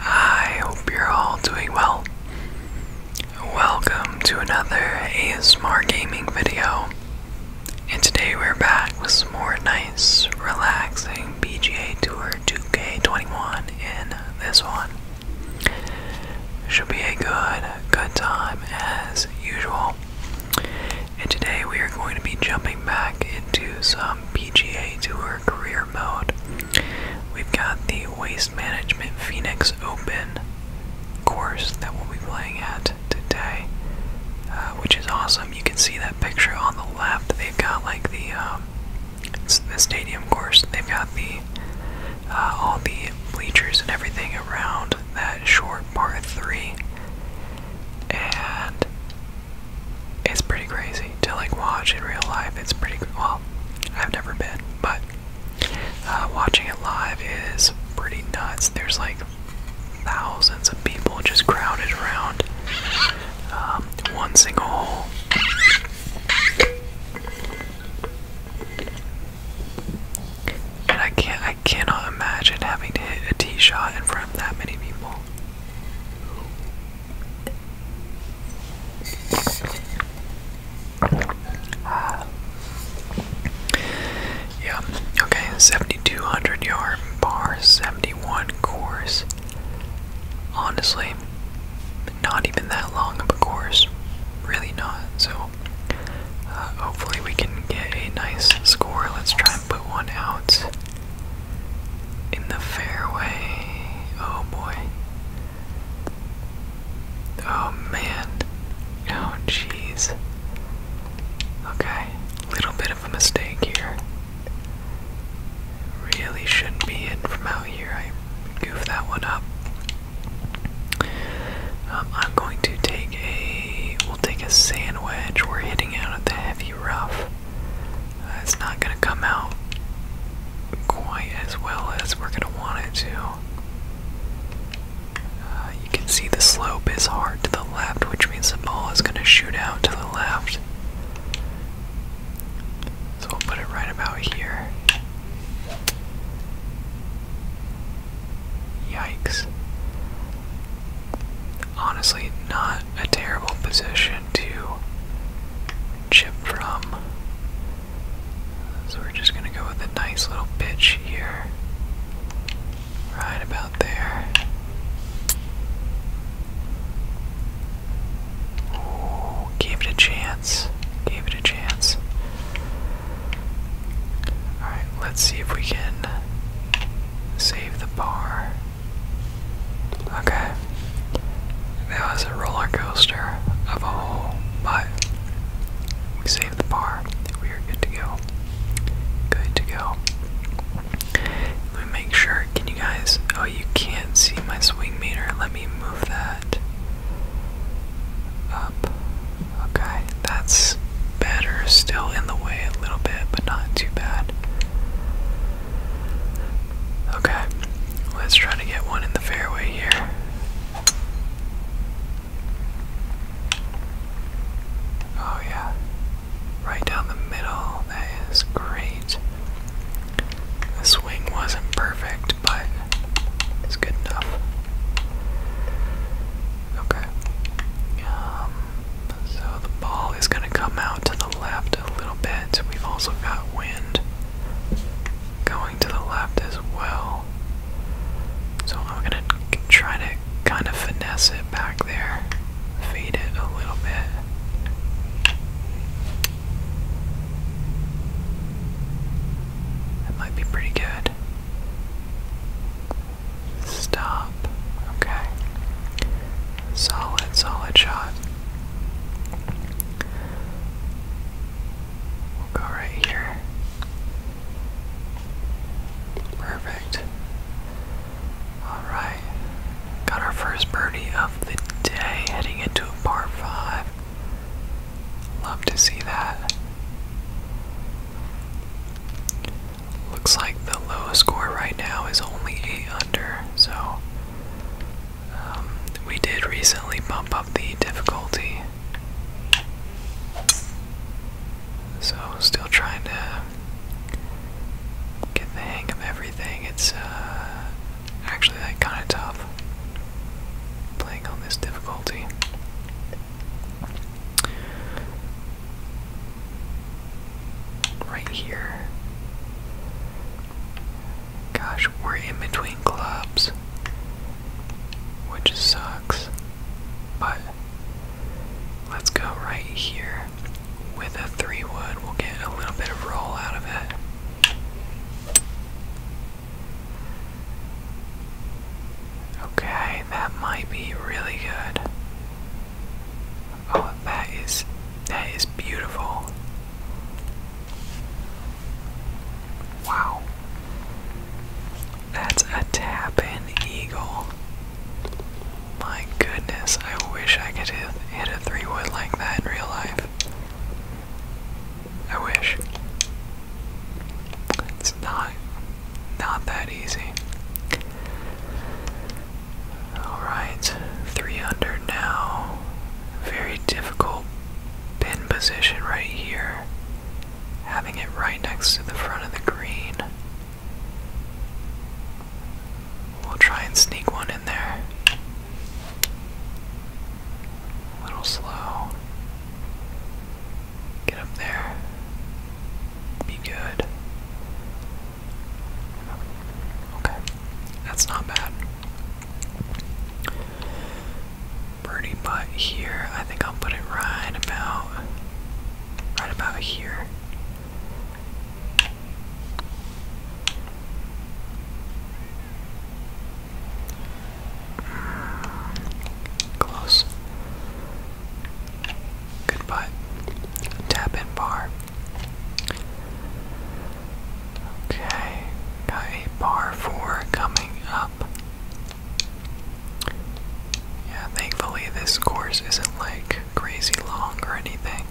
I hope you're all doing well. Welcome to another ASMR gaming video. And today we're back with some more nice, relaxing PGA Tour 2K21 in this one. Should be a good, good time as usual. And today we are going to be jumping back into some PGA Tour career mode. We've got the Waste Management Phoenix Open course that we'll be playing at today, uh, which is awesome. You can see that picture on the left. They've got like the um, stadium course. They've got the uh, all the bleachers and everything around that short part three, and it's pretty crazy to like watch in real life. It's pretty well. I've never been, but uh, watching it live is pretty nuts. There's like thousands of people just crowded around um, one single hole. And I can't, I cannot imagine having to hit a tee shot in front of that many people. Yeah, okay, 7,200 yard bar, 71 course. Honestly, not even that long of a course. Really not. So, uh, hopefully, we can get a nice score. Let's try and put one out in the fairway. Oh boy. Oh man. Oh jeez. Okay, little bit of a mistake here. Really shouldn't be in from out here. I goofed that one up. Um, I'm going to take a. We'll take a sand We're hitting out at the heavy rough it's not going to come out quite as well as we're going to want it to. Uh, you can see the slope is hard to the left, which means the ball is going to shoot out to the left. So we'll put it right about here. Yikes. Honestly, not a terrible position to chip from. So we're just gonna go with a nice little pitch here. Right about there. Ooh, gave it a chance. Gave it a chance. Alright, let's see if we can save the bar. Okay. That was a roller coaster of a hole, but we saved the bar. We are good to go. Good to go. Let me make sure. Can you guys? Oh, you can't see my swing meter. Let me move that up. Okay, that's better. Still in the way a little bit, but not too bad. Okay, Let's try to get one in the fairway here. Oh, yeah. Right down the middle. That is great. The swing wasn't perfect, but it's good enough. Okay. Um, so the ball is going to come out to the left a little bit. We've also got wind going to the left as well. So I'm gonna try to kind of finesse it back there, fade it a little bit. That might be pretty good. Stop. Okay. Solid, solid shot. We'll go right here. Perfect. Alright. Got our first birdie of the day heading into a par 5. Love to see that. Looks like the low score right now is only 8 under, so um, we did recently bump up the difficulty. So, still trying to get the hang of everything. It's uh, actually like, kind of tough playing on this difficulty. Right here. Gosh, we're in between clubs. Which sucks. But let's go right here with a three wood. We'll get a little bit of roll out of it. Okay, that might be really good. Oh, that is that is beautiful. Wow. That's a tap eagle. My goodness, I wish I could hit, hit a three wood like that in real life. I wish. It's not not that easy. Alright, 3 under now. Very difficult pin position right here. Having it right next to the front of the green. We'll try and sneak one in there. A little slow. Get up there. Be good. Okay, that's not bad. Birdie putt here. I think I'll put it right about, right about here. Hmm. Close. Good putt. Tap in bar. Okay, got a par four coming up. Yeah, thankfully this course isn't like crazy long or anything.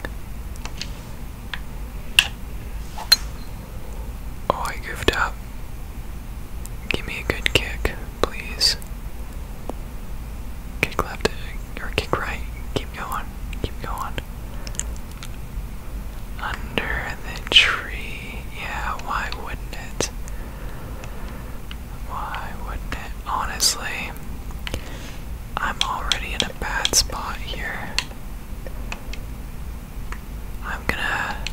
Oh, I goofed up. Give me a good kick, please. Kick left or kick right keep going, keep going. Under the tree. Yeah, why wouldn't it? Why wouldn't it? Honestly, I'm already in a bad spot here. I'm gonna.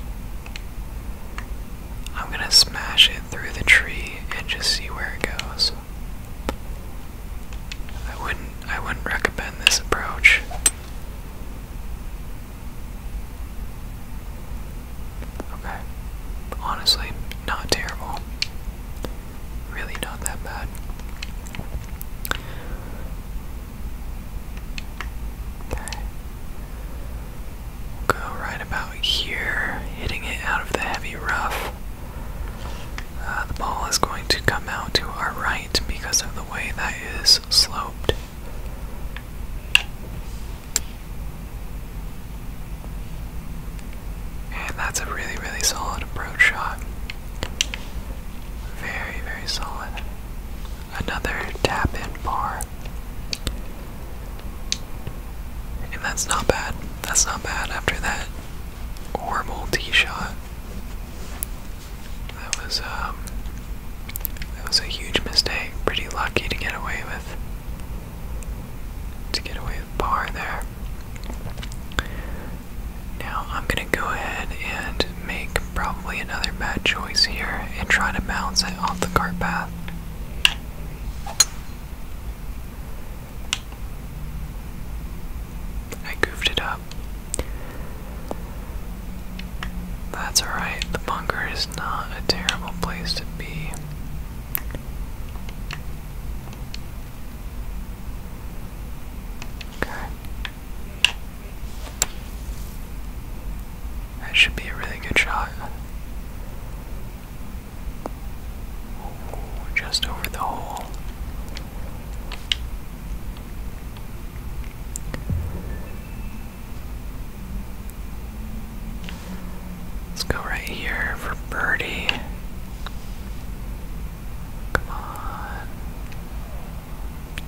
I'm gonna smash it through the tree and just see where it goes. I wouldn't I wouldn't recommend this approach. Okay. Honestly, not terrible. Really not that bad. Okay. go right about here, hitting it out of the heavy rough. Uh, the ball is going to come out to our right because of the way that is sloped. And that's a really, really solid approach shot. Very, very solid. Another tap in bar. And that's not bad. That's not bad after that horrible tee shot. That was um, that was a huge mistake. Pretty lucky to get away with to get away with par there. Now I'm gonna go ahead and make probably another bad choice here and try to bounce it off the cart path. I goofed it up. That's alright, the bunker is not a terrible place to be. Okay. That should be a really good shot just over the hole. Let's go right here for birdie. Come on.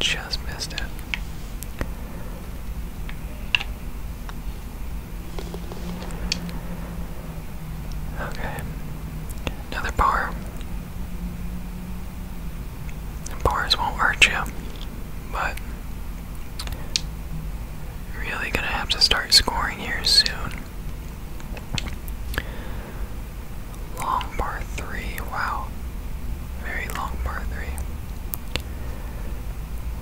Just missed it. Okay. Another bar. And bars won't hurt you, but really gonna have to start scoring here soon. Long bar three, wow. Very long bar three.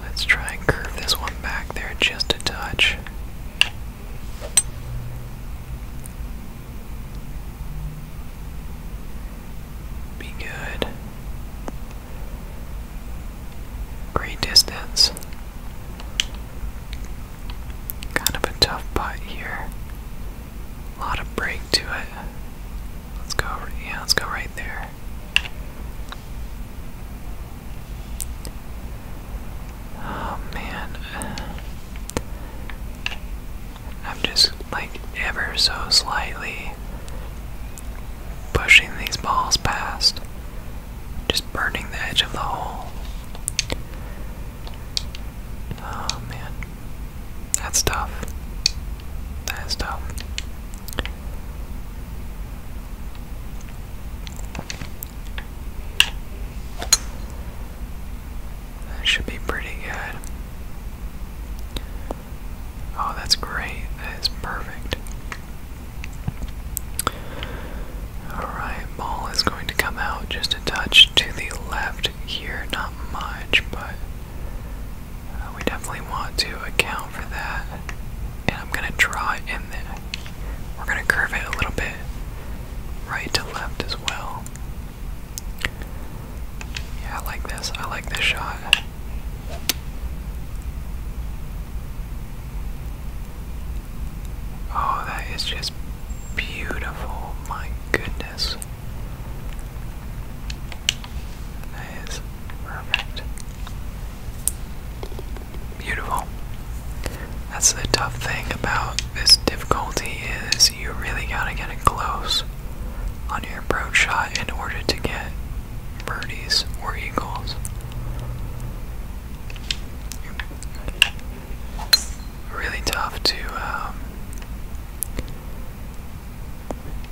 Let's try and curve this one back there just a touch. Be good. Great distance. Kind of a tough putt here. A lot of break to it. Let's go. Yeah, let's go right there. Oh man. I'm just like ever so slightly pushing these balls past, just burning the edge of the hole. Oh man. That's tough. That is tough. That should be pretty good. Oh, that's great. That is perfect. Alright, ball is going to come out just a touch to the left here. Not much, but uh, we definitely want to account for that. And I'm going to draw in there. We're going to curve it a little bit right to left as well. Yeah, I like this. I like this shot. Oh, that is just beautiful. My goodness. That is perfect. Beautiful. That's the tough thing about this difficulty is you really gotta get it close on your approach shot in order to get birdies or eagles. Really tough to um,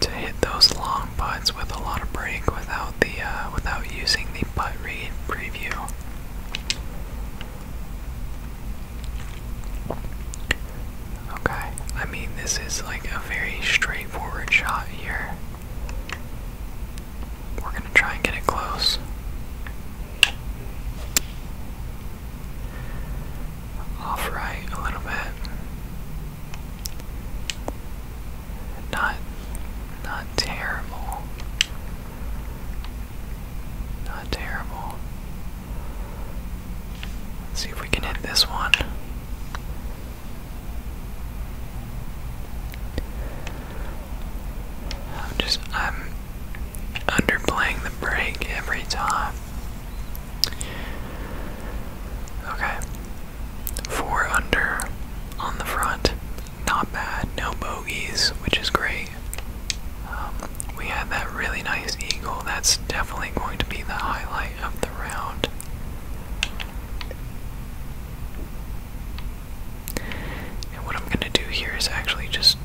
to hit those long putts with a lot of break without the uh, without using the putt read preview. Okay, I mean, this is like a very straightforward shot here. We're gonna try and get it close. Off right a little bit. Not not terrible. Not terrible. Let's see if we can hit this one. I'm just I'm underplaying the break every time. Okay. Four under on the front not bad, no bogeys, which is great. Um, we had that really nice eagle. That's definitely going to be the highlight of the round. And what I'm going to do here is actually just.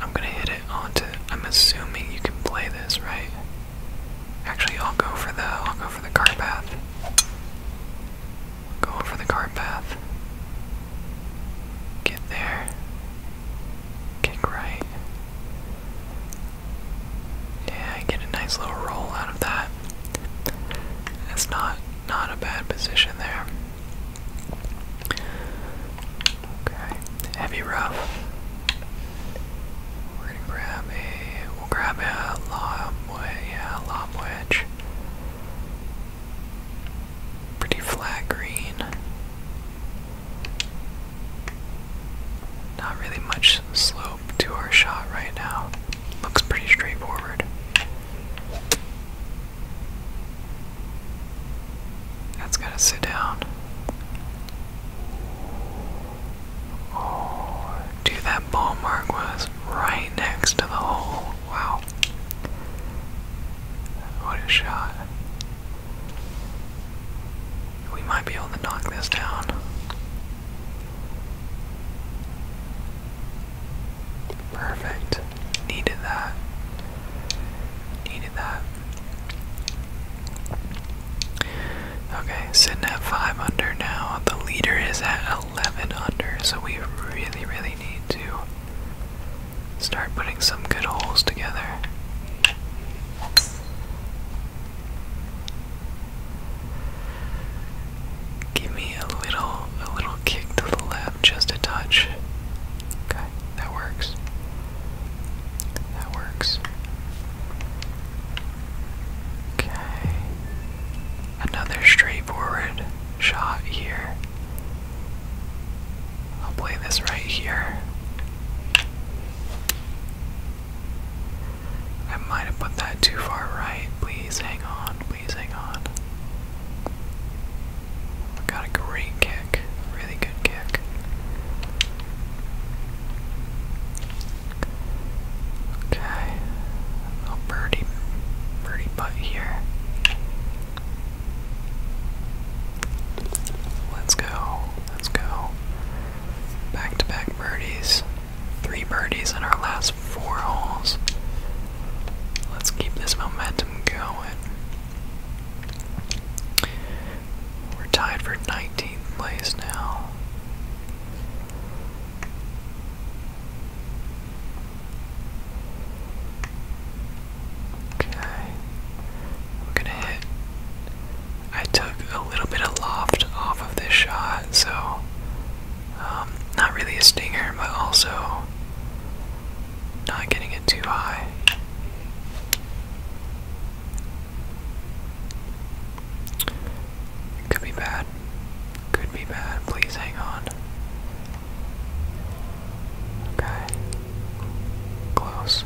I'm going to hit it onto. I'm assuming you can play this, right? Actually, I'll go for the. I'll go for the car path. Going for the cart path. Get there. Kick right. Yeah, I get a nice little roll out of that. It's not not a bad position there. Okay, heavy rough. We're gonna grab a we'll grab a lob wedge, yeah, lob wedge. Pretty flat green. Not really much slope to our shot right now. Looks pretty straightforward. That's gotta sit down. Oh, dude, that ball mark was right next to the hole. Wow. What a shot. We might be able to knock this down. Perfect. Needed that. Needed that. Okay, sitting at 5 under now. The leader is at 11 under, so we really, really need to start putting some good holes together. Give me a little, a little kick to the left, just a touch. Okay, that works. That works. Okay. Another straightforward shot here. I'll play this right here. I might have put that too far right. Please hang on. Please hang on. got a great kick. Really good kick. Okay. birdie, birdie putt here. Let's go. Let's go. Back to back birdies. Three birdies in our last four holes. Let's keep this momentum going. We're tied for 19th place now. Okay. We're gonna hit. I took a little bit of loft off of this shot, so um, not really a stinger, but also not getting it too high. could be bad. Could be bad. Please hang on. Okay. Close.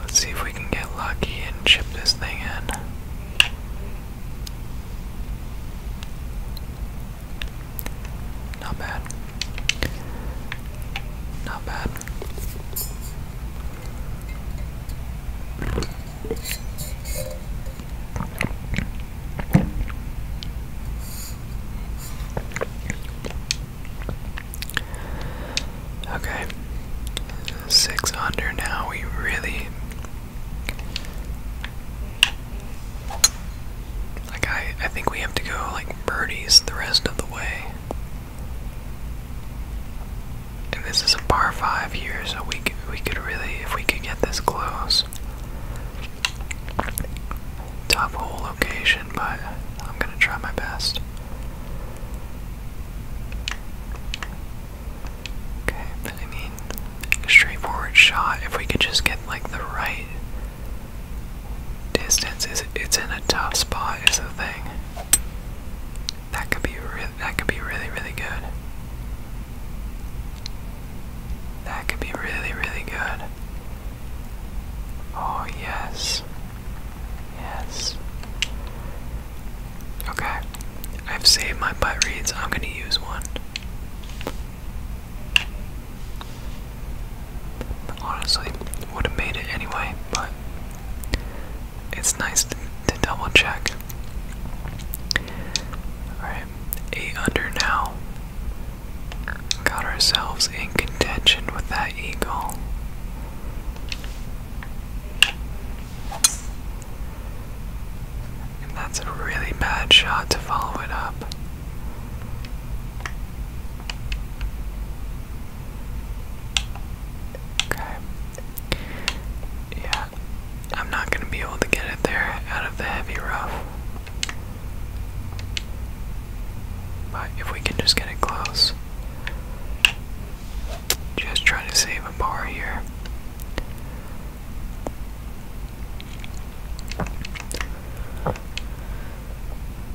Let's see if we can get lucky and chip this thing in. Not bad. Not bad. Okay, six under now. We really like. I I think we have to go like birdies the rest of the way this is a par five here, so we could, we could really, if we could get this close, top hole location, but I'm gonna try my best. Okay, I mean, straightforward shot. If we could just get like the right distance, it's, it's in a tough spot, is the thing. That could be re that could be really really good. That could be really really good. Oh yes. Yes. Okay. I've saved my butt reads. I'm going to use one. Honestly, would have made it anyway, but it's nice to, double check. Alright, 8 under now. Got ourselves in contention with that eagle. And that's a really bad shot to follow it up. Okay. Yeah, I'm not going to be able to get it there out of the heavy rough. But if we can just get it close. Just trying to save a bar here.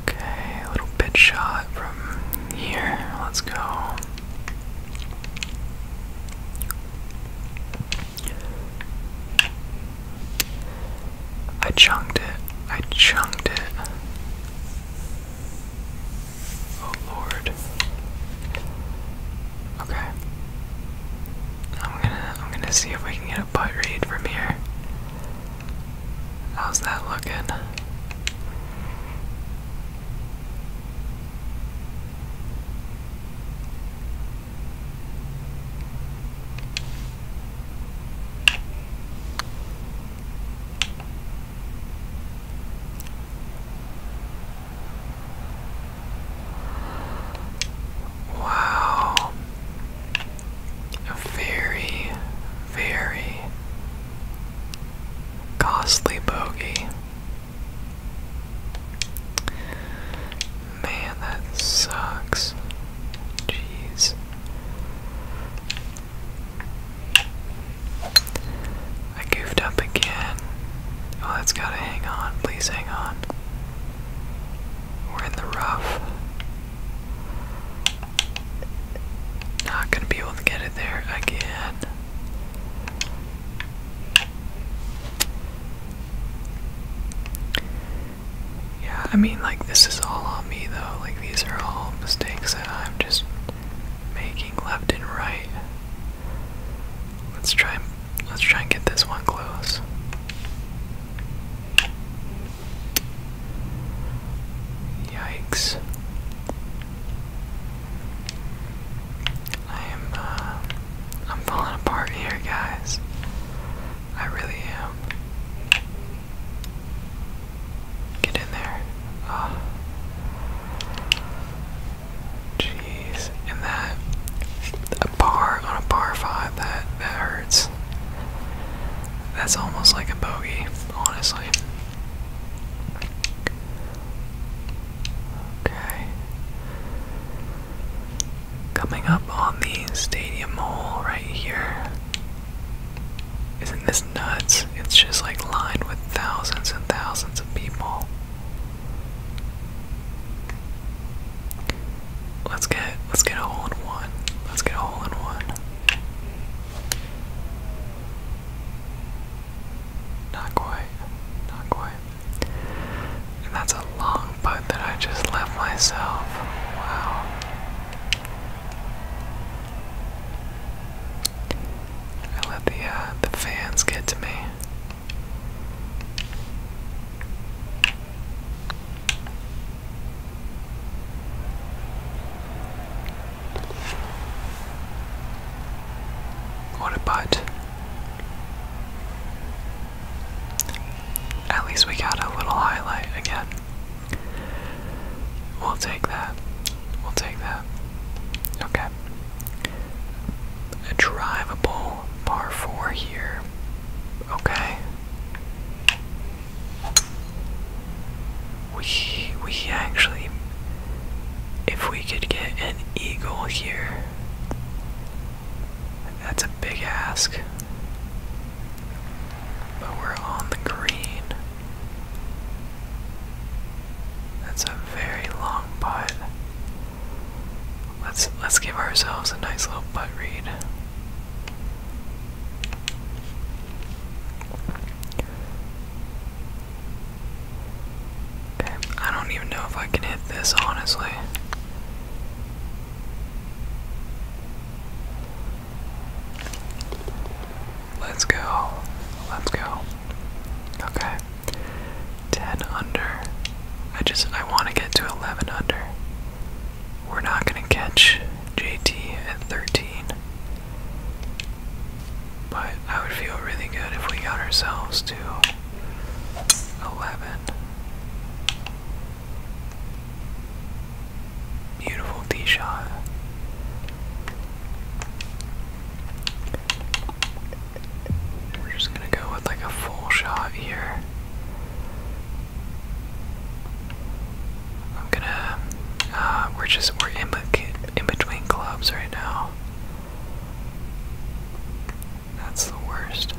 Okay, a little bit shot from here. Let's go. I chunked it. I chunked it. Oh Lord. Okay. I'm gonna I'm gonna see if we can get a butt read from here. How's that looking? Wow, a very, very costly bogey. Man, that sucks. Jeez. I goofed up again. Oh, that's gotta hang on. Please hang on. We're in the rough. Not gonna be able to get it there again. Yeah, I mean, like, this is all on me, though. Like, these are all mistakes that I'm just making left and right. Let's try. Let's try and get this one close. Yikes. I am, uh, I'm falling apart here, guys. I really am. Get in there. Ah. Jeez. And that, a bar on a bar five, that, that hurts. That's almost like a bogey, honestly. Okay. Coming up on the stadium hole right here. Isn't this nuts? It's just like lined with thousands and thousands of people. Let's get let's get a hole in one. Let's get a hole in one. Not quite. Not quite. that's a long putt that I just left myself. Wow. I let the uh, the fans get to me. What At least we got a little highlight again. We'll take that. We'll take that. Okay. A drivable par 4 here. Okay. We we actually if we could get an eagle here that's a big ask. But we're on the green. That's a very long putt. Let's let's give ourselves a nice little putt read. Okay, I don't even know if I can hit this, honestly. Let's go. Let's go. Okay. 10 under. I just, I want to get to 11 under. We're not going to catch JT at 13. But I would feel really good if we got ourselves to 11. Beautiful D shot. We're just gonna go with like a full shot here. I'm gonna. Uh, we're just we're in, between clubs right now. That's the worst.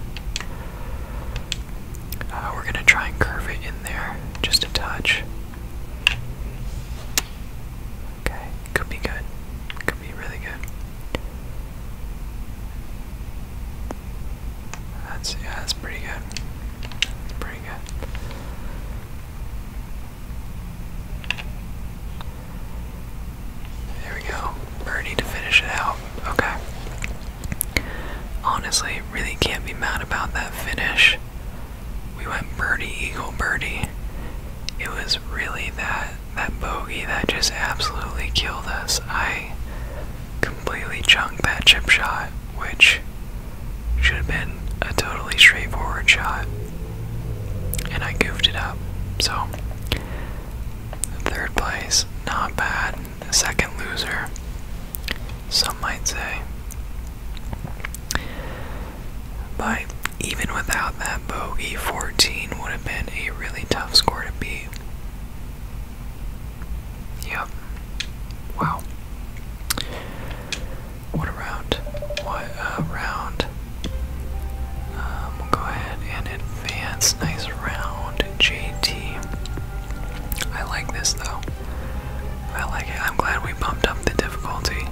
Uh, we're gonna try and curve it in there just a touch. Okay, could be good. Could be really good. That's yeah, that's pretty good. Pretty good. There we go. Birdie to finish it out. Okay. Honestly, really can't be mad about that finish. We went birdie, eagle, birdie. It was really that that bogey that just absolutely killed us. I completely chunked that chip shot, which should have been a totally straightforward shot. And I goofed it up. So, third place, not bad. second loser, some might say. But even without that bogey, 14 would have been a really tough score to beat. Yep. Wow. What a round. What a round. Um, we'll go ahead and advance. Nice round, JT. I like this though. I like it. I'm glad we bumped up the difficulty,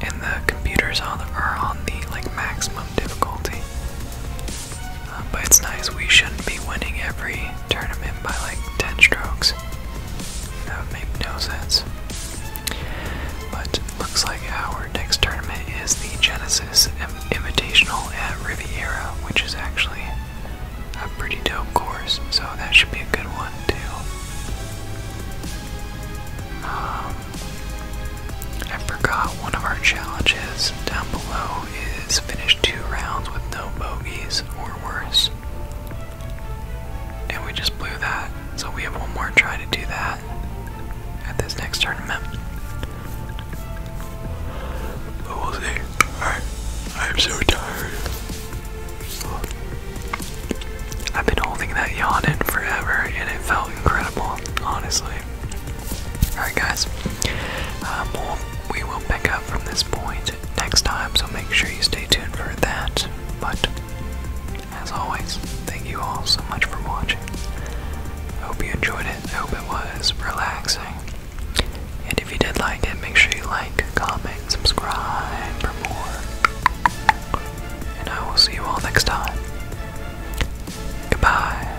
and the computers are on the like maximum difficulty. Uh, but it's nice. We shouldn't be winning every tournament by like 10 strokes. That would make no sense. But looks like our next tournament is the Genesis Invitational at Riviera, which is actually a pretty dope course, so that should be a good one too. Um, I forgot one of our challenges down below is finish two rounds with no bogeys or worse. And we just blew that, so we have one more try to do that at this next tournament. But we'll see. Alright, I am so tired. I've been holding that yawn in forever and it felt incredible, honestly. Alright, guys, um, we'll, pick up from this point next time, so make sure you stay tuned for that. But as always, thank you all so much for watching. hope you enjoyed it. hope it was relaxing. And if you did like it, make sure you like, comment, subscribe for more. And I will see you all next time. Goodbye.